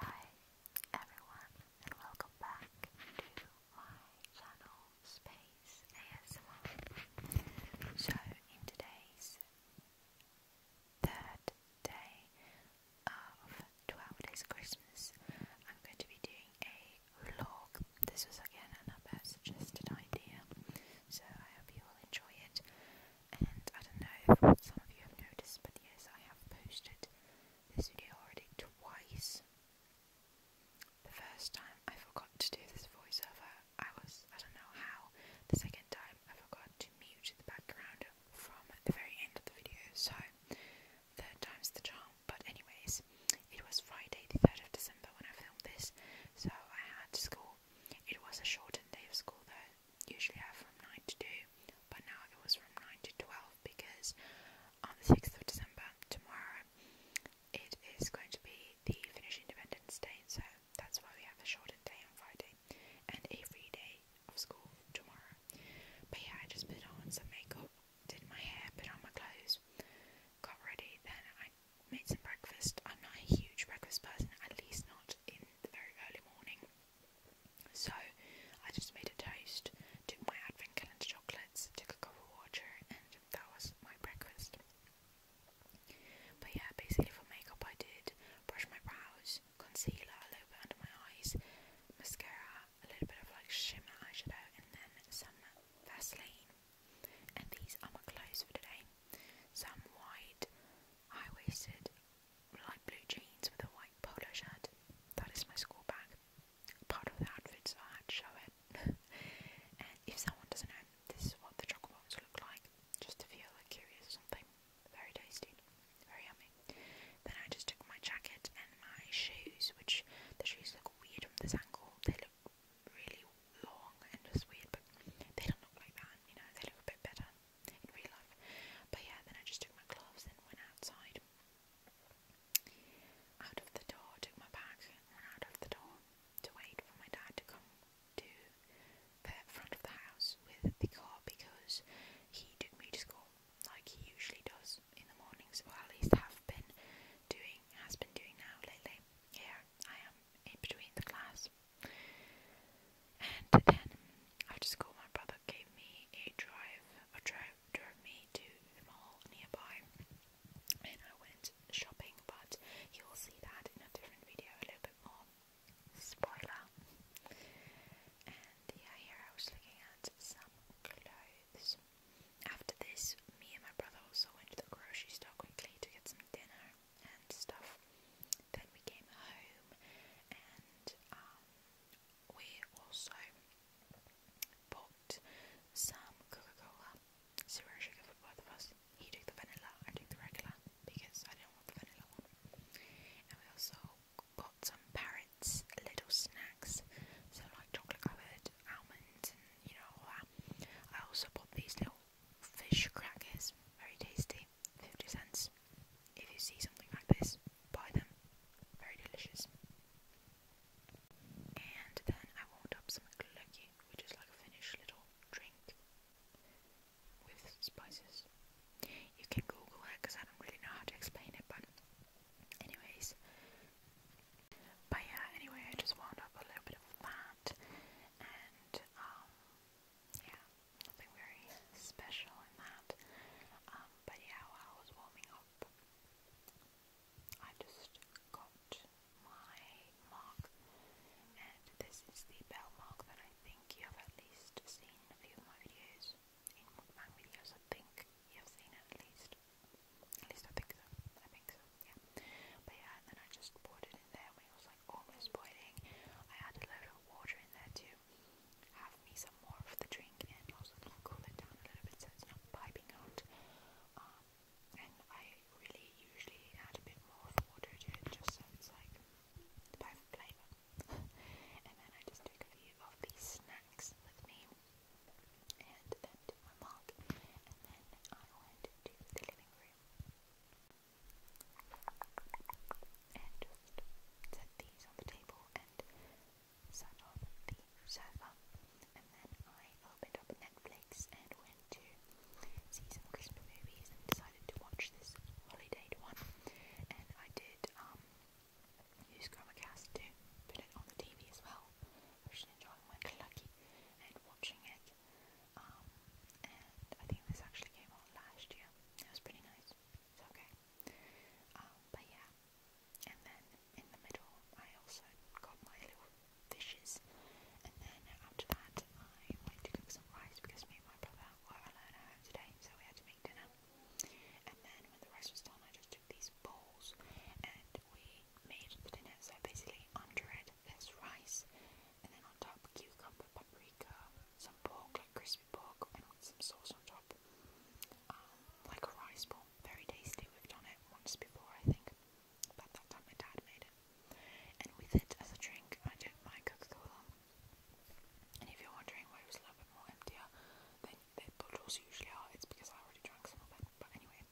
Hi everyone and welcome back to my channel Space ASMR. So in today's third day of 12 days Christmas I'm going to be doing a vlog. This was again another suggested idea so I hope you will enjoy it. And I don't know if some of you have noticed, but yes, I have posted this video already twice. The first time I forgot to do this voiceover. I was, I don't know how. The second time I forgot to mute the background from the very end of the video, so third time's the charm. But, anyways, it was Friday, the 3rd of December, when I filmed this, so I had school. It was a shortened day of school though, usually have from 9 to 2, but now it was from 9 to 12 because on the 6th of December, tomorrow, it is going to be the Finnish Independence Day, so that's why we have a shorter day on Friday and a free day of school tomorrow. But yeah, I just put on some makeup, did my hair, put on my clothes, got ready, then I made some breakfast. I'm not a huge breakfast person, at least not in the very early morning. So I just made a toast, took my advent calendar chocolates, took a cup of water, and that was my breakfast. But yeah, basically for makeup I did brush my brows, concealer a little bit under my eyes, mascara, a little bit of like shimmer eyeshadow, and then some Vaseline. And these are my clothes for today. Some white, high waisted, light blue jeans with a white polo shirt. That is my school bag. Part of the outfit, so I had to show it. and if someone doesn't know, this is what the chocolate ones look like, just to feel like curious or something. Very tasty, very yummy. Then I just took my jacket and my shoes, which the shoes look weird from this angle. They look really long and just weird, but they don't look like that, you know, they look a bit better in real life. But yeah, then I just took my gloves and went outside. Out of the door, took my bag and out of the door to wait for my dad to come to the front of the house with the car because he took me to school like he usually does in the mornings, or at least have been doing, has been doing now lately. Here I am in between the class and then after school, my brother gave me a drive, a drive, drove me to the mall nearby, and I went shopping. But you will see that in a different video, a little bit more spoiler. And yeah, here I was looking at some clothes. After this, me and my brother also went to the grocery store quickly to get some dinner and stuff. Then we came home and um, we also bought some Coca-Cola, zero sugar for both of us. He took the vanilla, I took the regular because I didn't want the vanilla one. And we also got some parrots little snacks, so like chocolate covered almonds and you know all that. I also bought these little fish crackers, very tasty, 50 cents. If you see something like this, buy them, very delicious. And then I warmed up some glöggi, which is like a Finnish little drink with spices. You can Google it because I don't really know how to explain it, but anyways. But yeah, anyway, I just wound up a little bit of that, and um, yeah, nothing very special in that. Um, but yeah, while I was warming up, I just got my mark, and this is the bell mark that I think you have at least seen in a few of my videos. In my videos, I think you have seen it at least. At least I think so. I think so, yeah. But yeah, and then I just poured it in there when it was like like almost boiling. I had a load of water in there to have me some more of the drink and also to cool it down a little bit so it's not piping out. Um, and I really usually add a bit more of water to it just so it's like the perfect flavor. and then I just took a few of these snacks with me and then to my mug and then I went to the living room and just set these on the table and sat on the sofa. And then I opened up Netflix and went to see some Christmas movies and decided to watch this holiday one. And I did um, use Chromacast to put it on the TV as well, which is enjoying my clucky and watching it. Um, and I think this actually came out last year. It was pretty nice. It's okay. Um, but yeah. And then in the middle, I also got my little fishes. And then after that, I went to cook some rice because me and my brother were alone at home today, so we had to make dinner. And then when the rice was done, I just took these bowls and we made the dinner. So basically, under it, there's rice and then on top cucumber, paprika, some pork, like crispy pork, and some sauce on top. Um, like a rice ball, very tasty. We've done it once before, I think. About that time my dad made it. And with it as a drink, I don't like Coca-Cola. And if you're wondering why it was a little bit more emptier than the bottles usually are, it's because I already drank some of it. But anyway,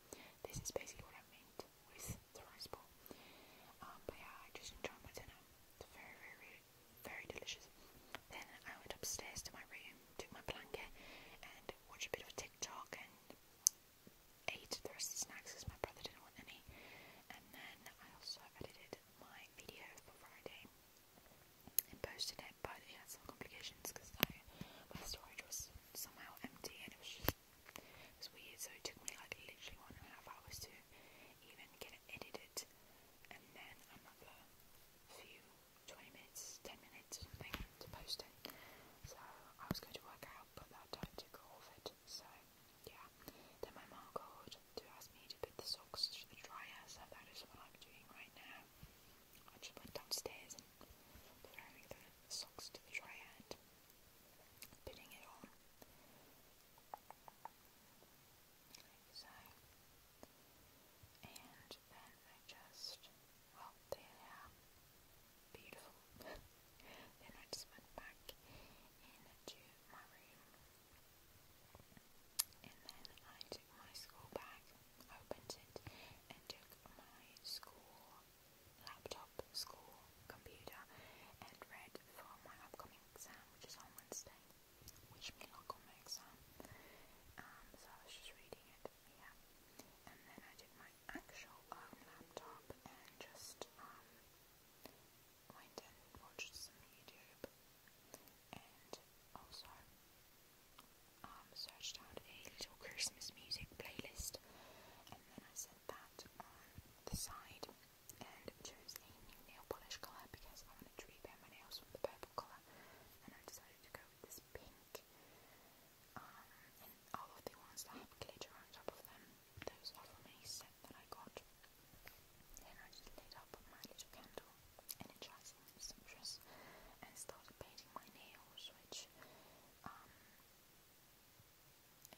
this is basically what I meant with the rice ball. Um, but yeah, I just enjoy my dinner. It's very, very, very delicious. Then I went upstairs to my room, took my blanket, and watched a bit of a TikTok and ate the rest of the snacks because my brother didn't want any. And then I also edited my video for Friday and posted it, but it had some complications because my storage was somehow empty and it was just it was weird. So it took me like literally one and a half hours to to even it and then i few 20 minutes, 10 minutes something to post it. So I was going to work out but that time took all of it. So yeah. Then my mom called to ask me to put the socks to the dryer, so that is what I'm doing right now. I just went downstairs and put the socks to the dryer putting it on like so. And then I just, well, there Beautiful. then I just went back into my room. And then I took my school bag, opened it, and took my school laptop, school computer, and read for my upcoming exam, which is on Wednesday. Wish me luck on my exam. Um, so I was just reading it, yeah. And then I did my actual um, laptop and just um, went and watched some YouTube and also searched out a little Christmas music playlist and then I sent that on the side and chose a new nail polish colour because I wanted to repaint my nails with the purple colour and I decided to go with this pink um, and all of the ones that have glitter on top of them those are from a set that I got then I just lit up my little candle energizing and and started painting my nails which um,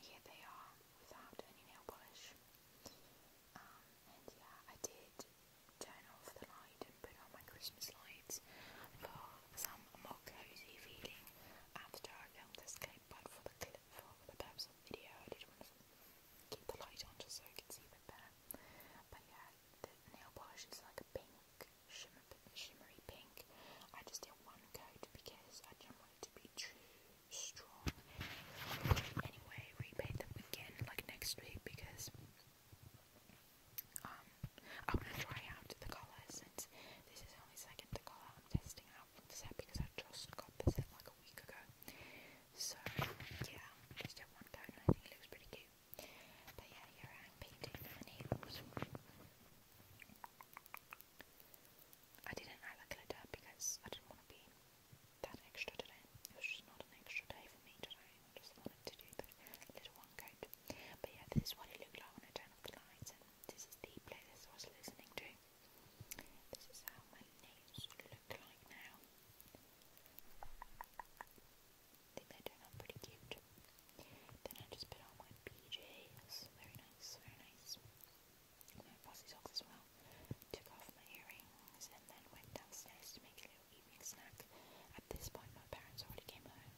here they are without any nail polish. Um, and yeah, I did turn off the light and put on my Christmas lights for some more cozy feeling after I filmed this clip, but for the clip, for the purpose video, I did want to keep the light on just so I could see a better. But yeah, the nail polish is like a pink, shimmery pink. I just did one coat because I didn't want it to be too Anyway, repaint them again like next week because um I wanna try out the colour since this is only second the colour I'm testing out from the set because I just got the set like a week ago. So yeah, just did one coat I think it looks pretty cute. But yeah, here I am the nails. I didn't add glitter because I didn't want to be that extra today. It was just not an extra day for me today. I just wanted to do the little one coat. But yeah, this is what it looked like when I turned off the lights, and this is the playlist I was listening to. This is how my nails look like now. I think they turn out pretty cute. Then I just put on my PJs. Very nice, very nice. My bossy socks as well. Took off my earrings and then went downstairs to make a little evening snack. At this point, my parents already came home.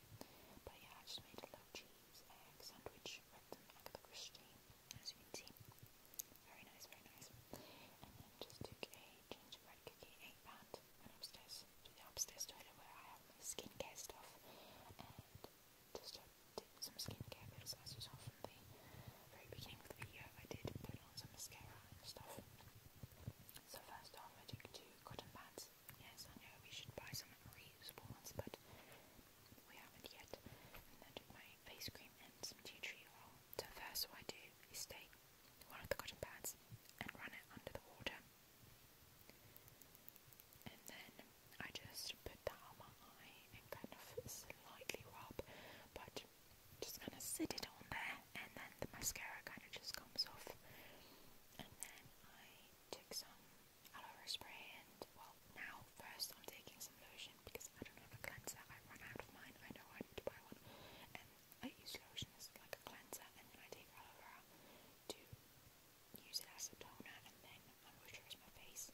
But yeah, I just made a little cheese sandwich, read them Agatha Christie, as you can see. Very nice, very nice. And then just took a gingerbread cookie, ate that, went upstairs to the upstairs toilet where I have my skincare stuff, and just did some skincare videos as you saw from the very beginning of the video. I did put on some mascara and stuff. So first off, I took two cotton pads. Yes, I know we should buy some reusable ones, but we haven't yet. And then took my face cream and some tea So first, what I do is take one of the cotton pads and run it under the water. And then I just put that on my eye kind of slightly rub, but just kind of sit it on there, and then the mascara kind of just comes off. And then I took some aloe spray, and well, now first I'm taking some lotion because I don't have a cleanser. I run out of mine. I know I need to buy one, and I use lotion as like a cleanser, and then I take aloe to use it as a toner, and then I moisturize my face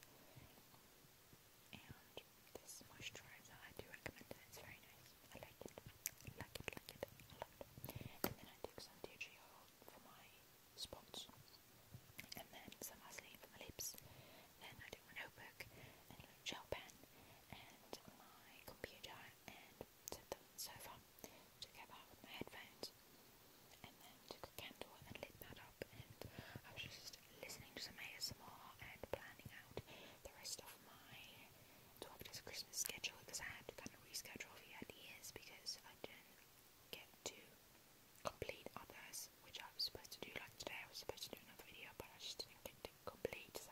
this moisturizer. I do recommend It's very nice. I like it. like it. Like it. I love it. And then I take some DG for my spots, and then some Vaseline for my lips. Then I do my notebook and a gel pen and my computer and sit them on the sofa. with my headphones, and then took a candle and lit that up. And I was just listening to some ASMR and planning out the rest of my 12 days of Christmas schedule because I had to kind of reschedule the ideas because I didn't get to complete others, which I was supposed to do. Like today, I was supposed to do another video, but I just didn't get to complete, so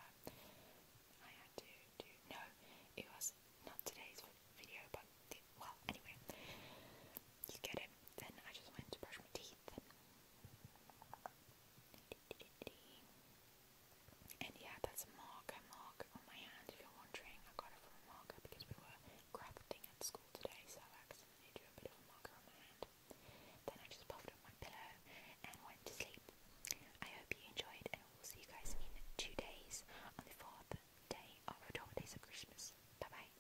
I had to do. No, it was not today's video, but the, well, anyway, you get it. Then I just went to brush my teeth, and yeah, that's a marker on my hand. If you're wondering, I got it from marker because we were crafting at school today, so I accidentally drew a bit of a marker on my hand. Then I just puffed up my pillow and went to sleep. I hope you enjoyed, and we'll see you guys in two days on the fourth day of our 12 days of Christmas. Bye bye.